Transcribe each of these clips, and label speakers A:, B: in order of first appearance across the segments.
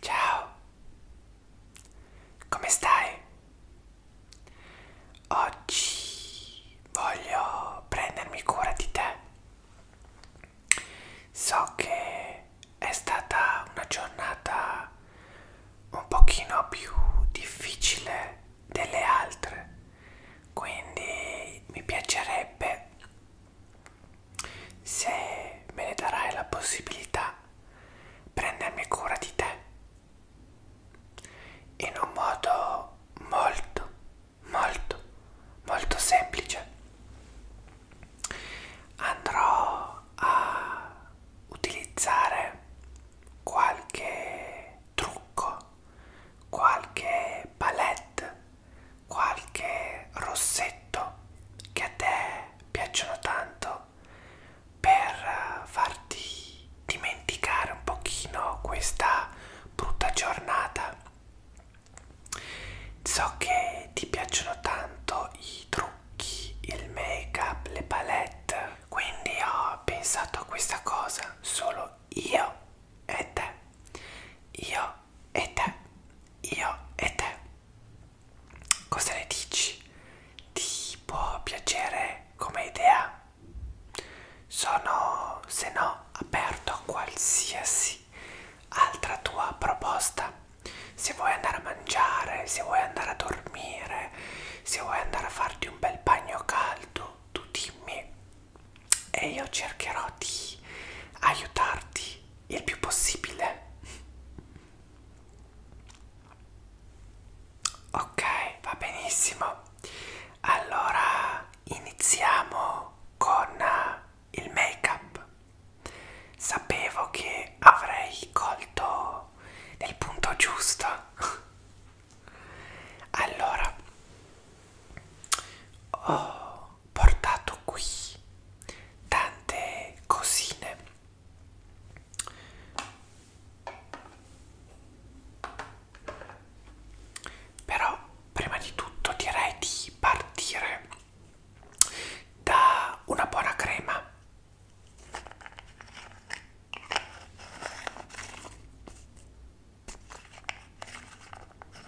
A: Ciao, come stai? Oggi voglio prendermi cura di te. So che è stata una giornata un pochino più difficile delle altre, quindi mi piacerebbe se me ne darai la possibilità, prendermi cura di te in un modo molto, molto, molto semplice. Andrò a utilizzare qualche trucco, qualche palette qualche rossetto che a te piacciono tanto per eh, farti dimenticare un pochino questa brutta giornata so che ti piacciono tanto i trucchi il make up le palette quindi ho pensato a questa cosa solo io e te io e te io e te Cosa ne dici? Ti può piacere come idea? Sono, se no, aperto a qualsiasi altra tua proposta. Se vuoi andare a mangiare, se vuoi andare a dormire, se vuoi andare a farti un bel bagno caldo, tu dimmi e io cercherò di aiutarti il più possibile. Ok, va benissimo. Allora iniziamo con il make up. Sapevo che avrei colto nel punto giusto. allora, ho oh, portato qui tante cosine però prima di tutto direi di partire da una buona crema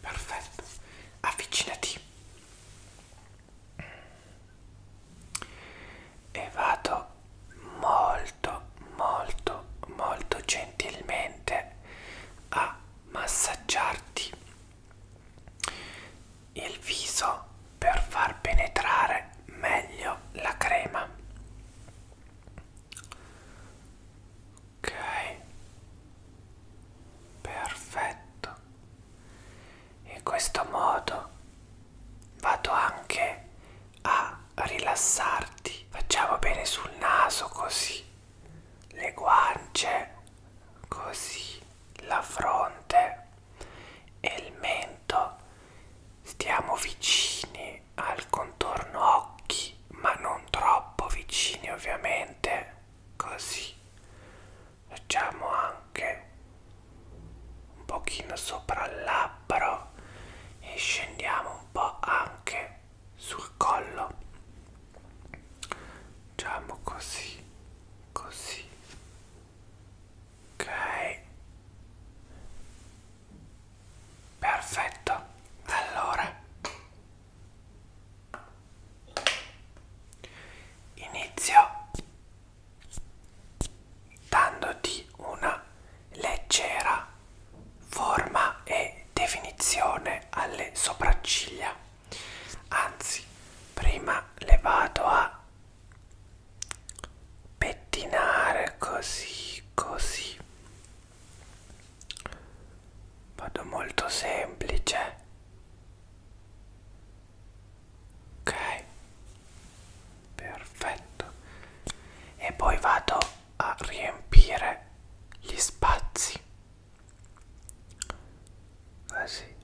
A: perfetto avvicinati e vado molto molto molto gentilmente a massaggiarti il viso per far penetrare meglio la crema ok perfetto in questo modo vado anche a rilassarti facciamo bene sul naso così le guance così la fronte e il mento stiamo vicini al contorno occhi ma non troppo vicini ovviamente così facciamo anche un pochino sopra il labbro e scendiamo un po' anche sul collo facciamo così così ok perfetto allora Inizio dandoti una leggera forma e definizione alle sopracciglia. Anzi, prima le vado a pettinare così, così vado molto semplice ok perfetto e poi vado a riempire gli spazi così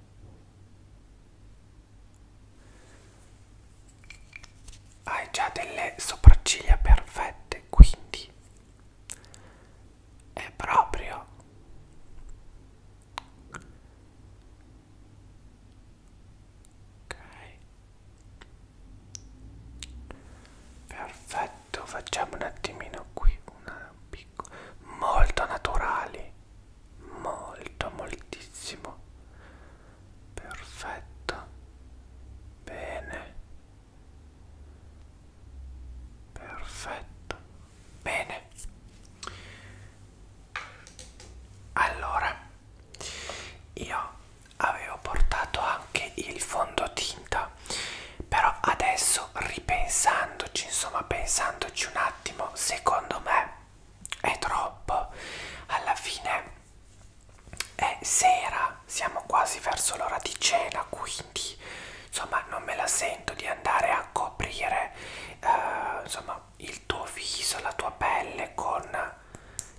A: hai già delle sopracciglia perfette quindi è proprio ok perfetto facciamo un attimino qui una piccola molto naturali molto moltissimo perfetto bene perfetto bene allora io avevo portato anche il fondotinta però adesso ripensandoci insomma pensandoci un attimo secondo me è troppo alla fine è sera, siamo quasi verso l'ora di cena, quindi insomma non me la sento di andare a coprire eh, insomma il tuo viso, la tua pelle con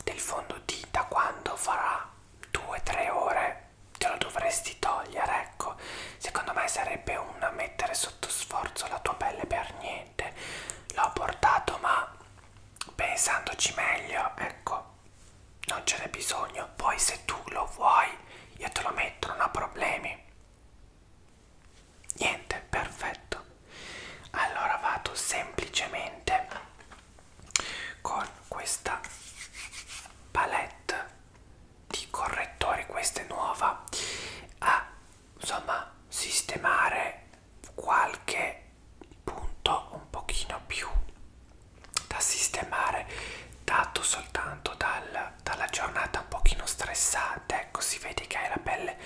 A: del fondotinta quando farà 2-3 ore te lo dovresti togliere, ecco. Secondo me sarebbe un mettere sotto sforzo la tua pelle per niente. L'ho portato ma pensandoci meglio ecco non ce n'è bisogno poi se tu lo vuoi io te lo metto non ho problemi niente perfetto allora vado semplicemente con questa palette di correttori questa è nuova a insomma sistemare qualche punto un pochino più da sistemare dato soltanto dal, dalla giornata un pochino stressante ecco si vede che hai la pelle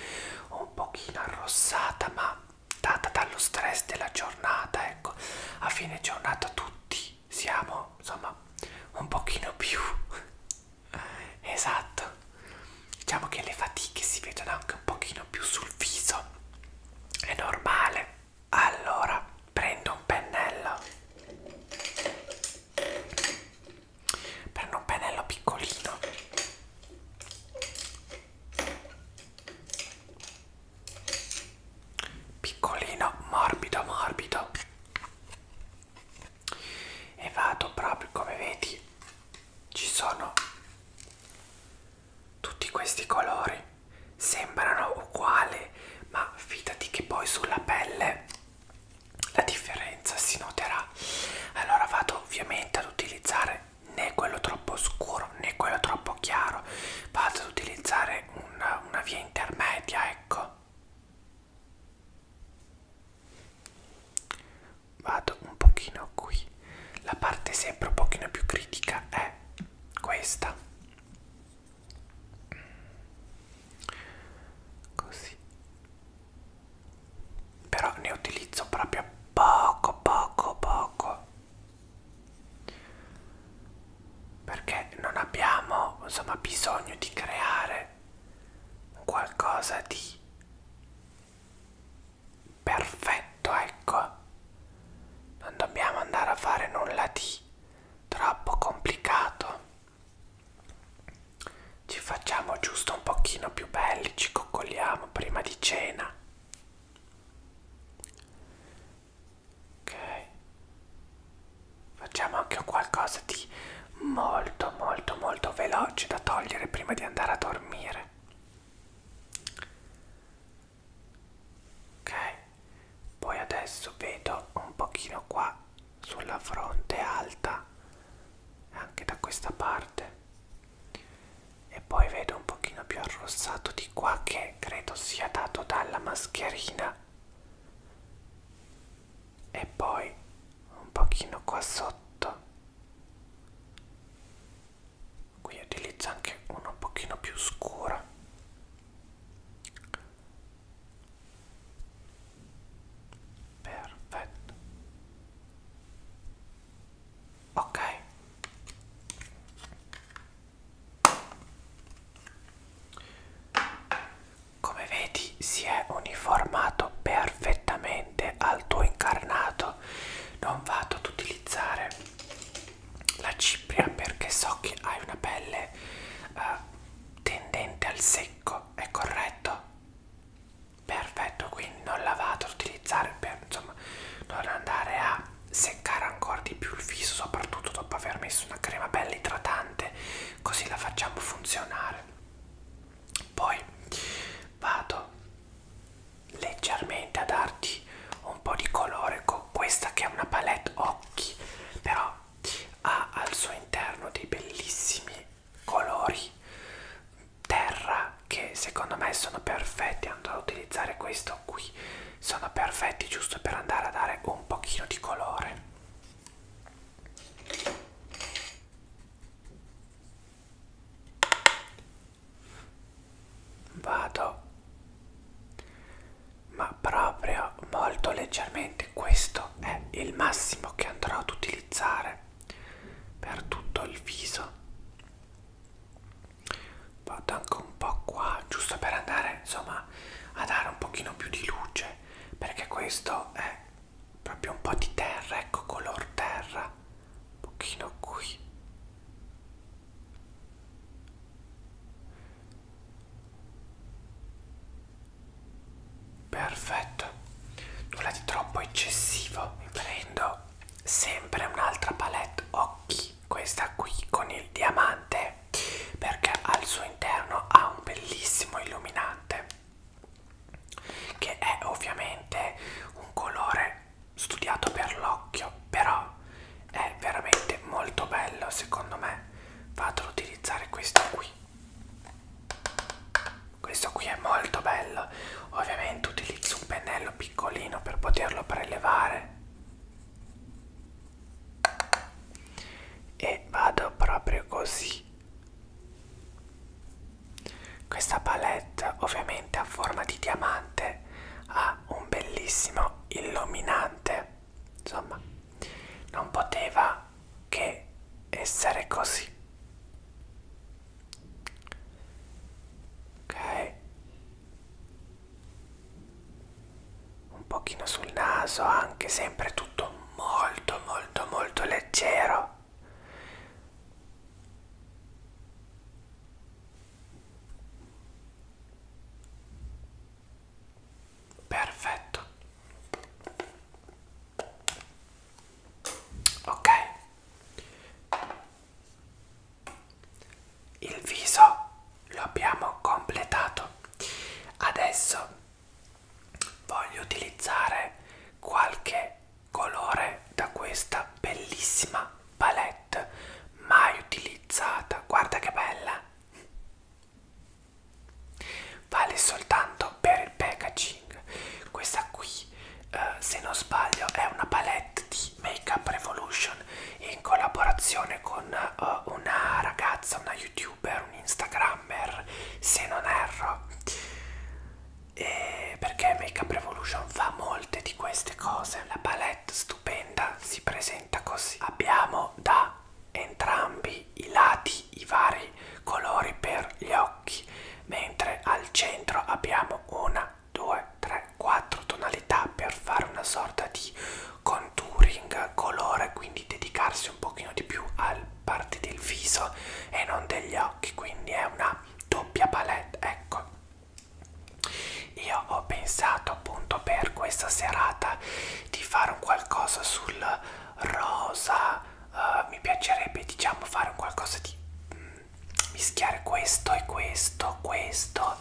A: un pochino arrossata ma data dallo stress della giornata ecco a fine giornata tutti siamo insomma un pochino più esatto diciamo che le fatiche si vedono anche un pochino più sul viso è normale allora prendo un pennello prendo un pennello piccolino piccolino morbido morbido e vado proprio come vedi ci sono tutti questi colori sembrano uguali, ma fidati che poi sulla pelle la differenza si noterà. Allora vado ovviamente ad utilizzare né quello troppo scuro né quello troppo chiaro, vado ad utilizzare una, una via intermedia, ecco. Vado un pochino qui la parte sempre un pochino più critica è questa. Così. Però ne utilizzo proprio poco, poco, poco. Perché non abbiamo, insomma, bisogno di creare qualcosa di perfetto ecco non dobbiamo andare a fare nulla di troppo complicato ci facciamo giusto un pochino più belli ci coccoliamo prima di cena ok facciamo anche qualcosa di molto molto molto veloce da togliere prima di andare a dormire ok poi adesso vedo un pochino qua sulla fronte alta anche da questa parte e poi vedo un pochino più arrossato di qua che credo sia dato dalla mascherina e poi un pochino qua sotto qui utilizza anche una un pochino più scura perfetto ok come vedi si è uniformato perfettamente al tuo incarnato non vado ad utilizzare la cipria perché so che hai una pelle uh, tendente al secco, è corretto? Perfetto, quindi non la vado ad utilizzare per insomma non andare a seccare ancora di più il viso, soprattutto dopo aver messo una crema bella idratante, così la facciamo funzionare. Poi vado leggermente a darti un po' di colore con questa che è una palette occhi però ha al suo interno dei bellissimi colori terra che secondo me sono perfetti andrò a utilizzare questo qui sono perfetti giusto per andare a dare un pochino di colore vado ma proprio molto leggermente questo è il massimo che andrò ad utilizzare per tutto il viso vado anche un po' qua giusto per andare insomma a dare un pochino più di luce perché questo è proprio un po' di terra ecco color terra un pochino qui perfetto nulla di troppo eccessivo mi prendo sempre un'altra palette occhi questa qui con il diamante perché al suo interno ha un bellissimo illuminante che è ovviamente un colore studiato per l'occhio però è veramente molto bello secondo me vado ad utilizzare questo qui questo qui è molto bello ovviamente utilizzo un pennello piccolino per poterlo prelevare e vado proprio così questa palette ovviamente a forma di diamante ha un bellissimo illuminante, insomma non poteva che essere così. Ok, un pochino sul naso anche sempre tutto molto molto molto leggero Perfetto. Ok. Il viso lo abbiamo completato. Adesso voglio utilizzare qualche colore da questa bellissima palette mai utilizzata guarda che bella vale soltanto per il packaging questa qui eh, se non sbaglio è una palette di make up revolution in collaborazione con eh, una ragazza una youtuber un instagrammer se non erro e perché Make Up Revolution fa molte di queste cose. La palette stupenda si presenta così. Abbiamo da entrambi i lati i vari colori per gli occhi, mentre al centro abbiamo una, due, tre, quattro tonalità per fare una sorta di contouring colore, quindi dedicarsi un pochino di più al parti del viso e non degli occhi, quindi è una doppia palette, ecco. Io ho pensato appunto per questa serata di fare un qualcosa sul rosa, uh, mi piacerebbe diciamo fare un qualcosa di mm, mischiare questo e questo, questo,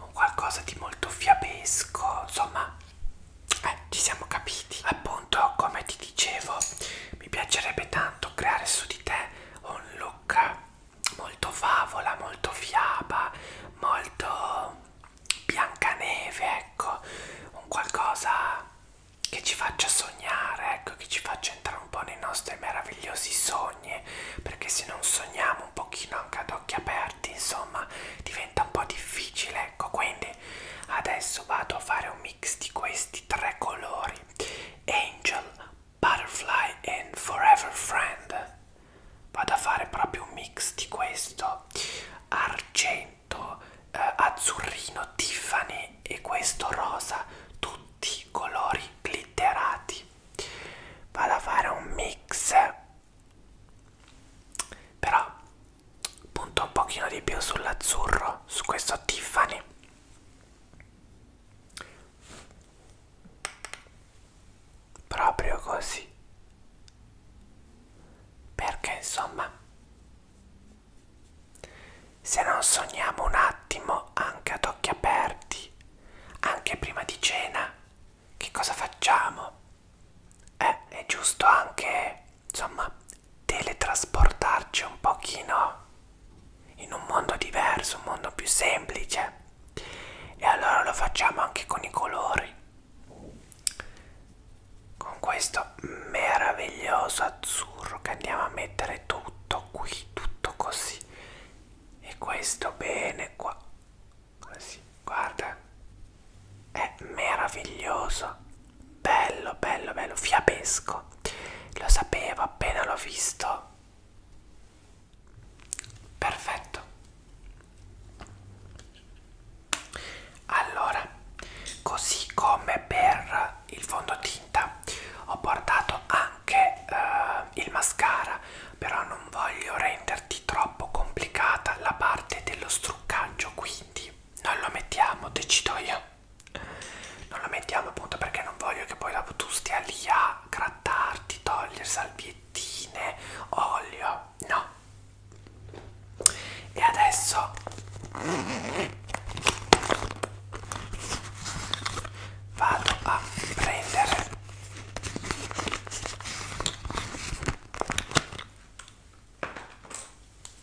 A: un qualcosa di molto fiabesco, insomma eh, ci siamo capiti. Appunto come ti ti dicevo mi piacerebbe tanto creare su di te un look molto favola, molto fiaba, molto biancaneve, ecco, un qualcosa che ci faccia sognare, ecco, che ci faccia entrare un po' nei nostri meravigliosi sogni, perché se non sogniamo un pochino anche ad occhi aperti, insomma, diventa un po' difficile, ecco, quindi adesso vado a fare un mix di questi di tre colori Angel, Butterfly e Forever Friend vado a fare proprio un mix di questo argento, eh, azzurrino, tiffany e questo rosa tutti colori glitterati vado a fare un mix però punto un pochino di più sull'azzurro su questo Tiffany proprio così perché insomma se non sogniamo un attimo anche ad occhi aperti anche prima di cena che cosa facciamo eh, è giusto anche insomma teletrasportarci un pochino in un mondo diverso, un mondo più semplice. E allora lo facciamo anche con i colori. Con questo meraviglioso azzurro che andiamo a mettere tutto qui, tutto così. E questo bene qua. Così, guarda. È meraviglioso bello bello bello fiabesco lo sapevo appena l'ho visto perfetto allora così come per il fondotinta ho portato anche eh, il mascara però non voglio renderti troppo complicata la parte dello struccaggio quindi non lo mettiamo, decido io. Non lo mettiamo appunto perché non voglio che poi dopo tu stia lì a grattarti, togliere salviettine, olio. No. E adesso vado a prendere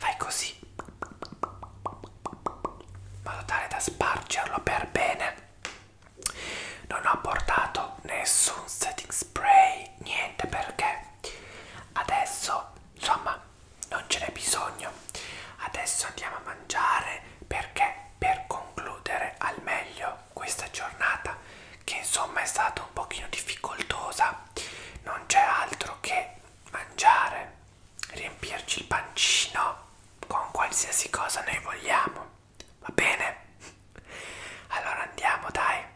A: Fai così, in modo tale da spargerlo per bene. Non ho portato nessun setting spray, niente perché adesso insomma non ce n'è bisogno adesso andiamo a mangiare perché per concludere al meglio questa giornata che insomma è stata un pochino difficoltosa non c'è altro che mangiare riempirci il pancino con qualsiasi cosa noi vogliamo va bene allora andiamo dai